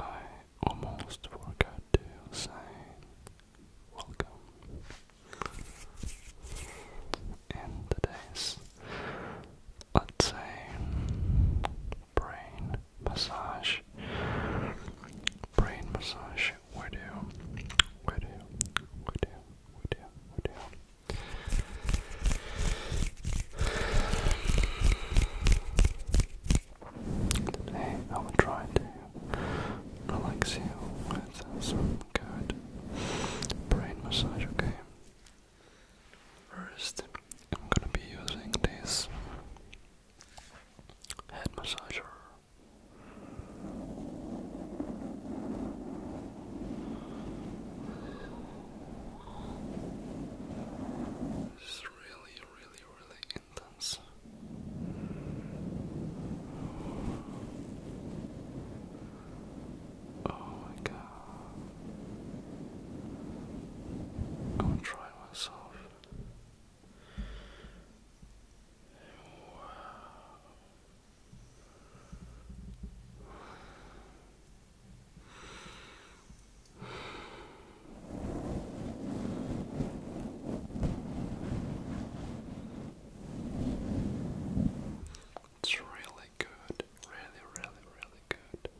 I almost forgot to say welcome. In today's, let's say, brain massage Brain massage. Where do? Where do? Where do? Where do? Where do? Today I will try to relax you with some good brain massage, okay? First, I'm gonna be using this head massager. It's really, really, really intense. Oh my god. I'm trying myself. It's really good, really, really, really good.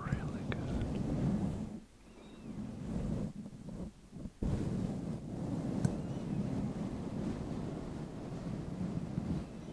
Really good. Good.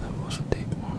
That was a deep one.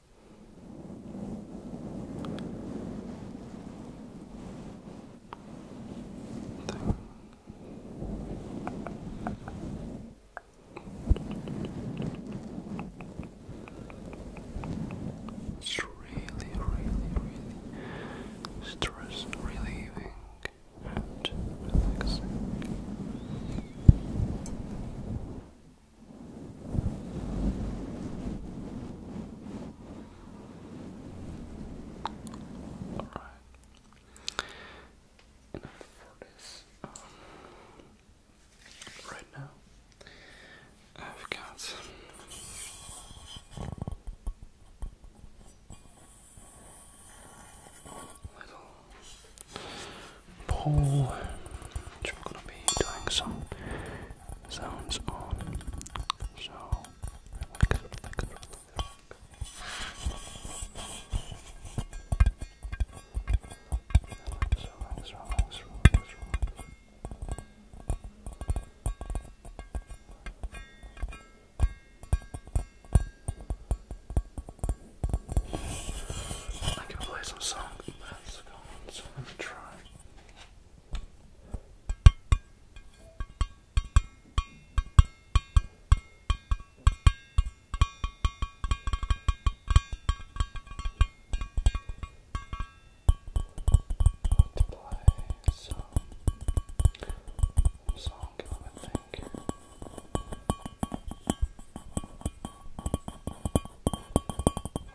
It's really, really, really stress relieving and relaxing. Alright. Enough for this. right now, I've got. Little Paul, which we're going to be doing some sounds on. So, relax, relax, relax, relax. I can play some song. Let's I'm going try. To play some song, I think.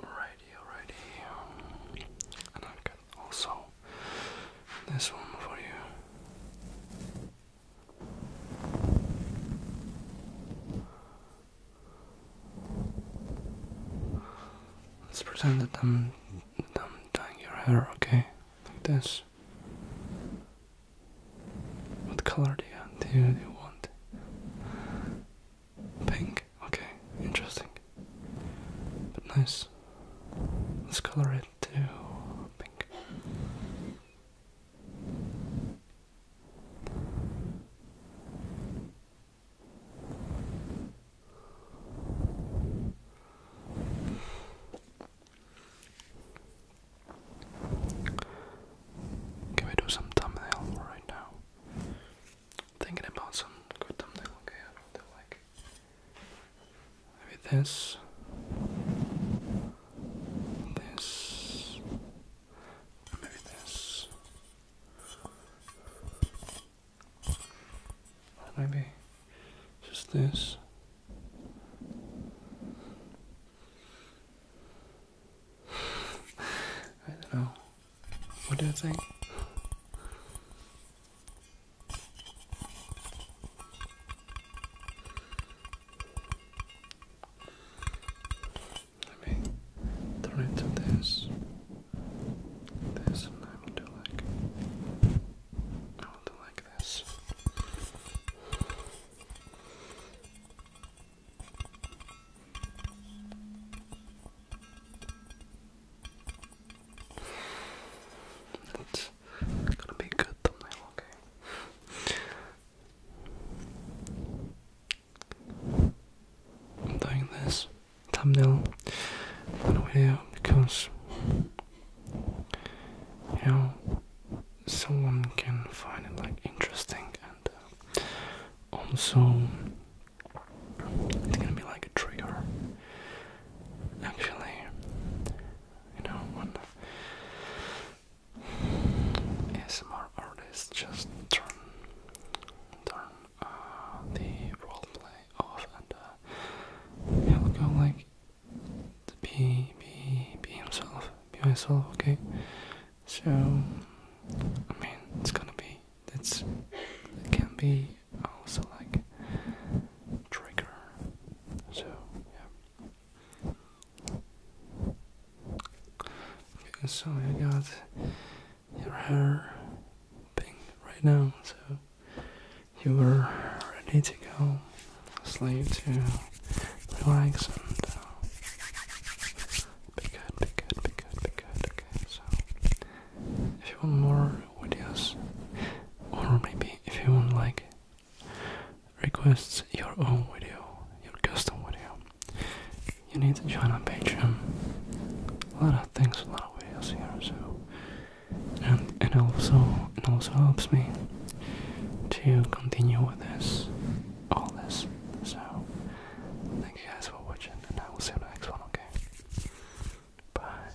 Alrighty, alrighty. And I've also this one for you. Let's pretend that I'm, that dyeing your hair, okay? Like this. What color do you want? Pink. Okay, interesting. But nice. Let's color it to Can we do some thumbnail right now? Thinking about some good thumbnail. Okay, I don't like Maybe this. This. Maybe this. Maybe just this. I don't know. What do you think? Let me turn it to this, this, and I will do like, I will do like this. That's Gonna be good okay? I'm doing this thumbnail because you know someone can find it like interesting and uh, also it's gonna be like a trigger actually you know, when ASMR artists just turn, turn uh, the roleplay off and he'll uh, go like, be, be, be himself, be myself, okay? So, I mean, it's gonna be, that's it can be also like trigger, so yeah. Okay, so you got your hair pink right now, so you are ready to go sleep to relax and uh, be good, be good, be good, be good. Okay, so if you want more videos, or maybe if you want like requests your own video, your custom video, you need to join on Patreon. A lot of things, a lot of videos here, so and it also it also helps me to continue with this, all this. So thank you guys for watching, and I will see you in the next one. Okay, bye.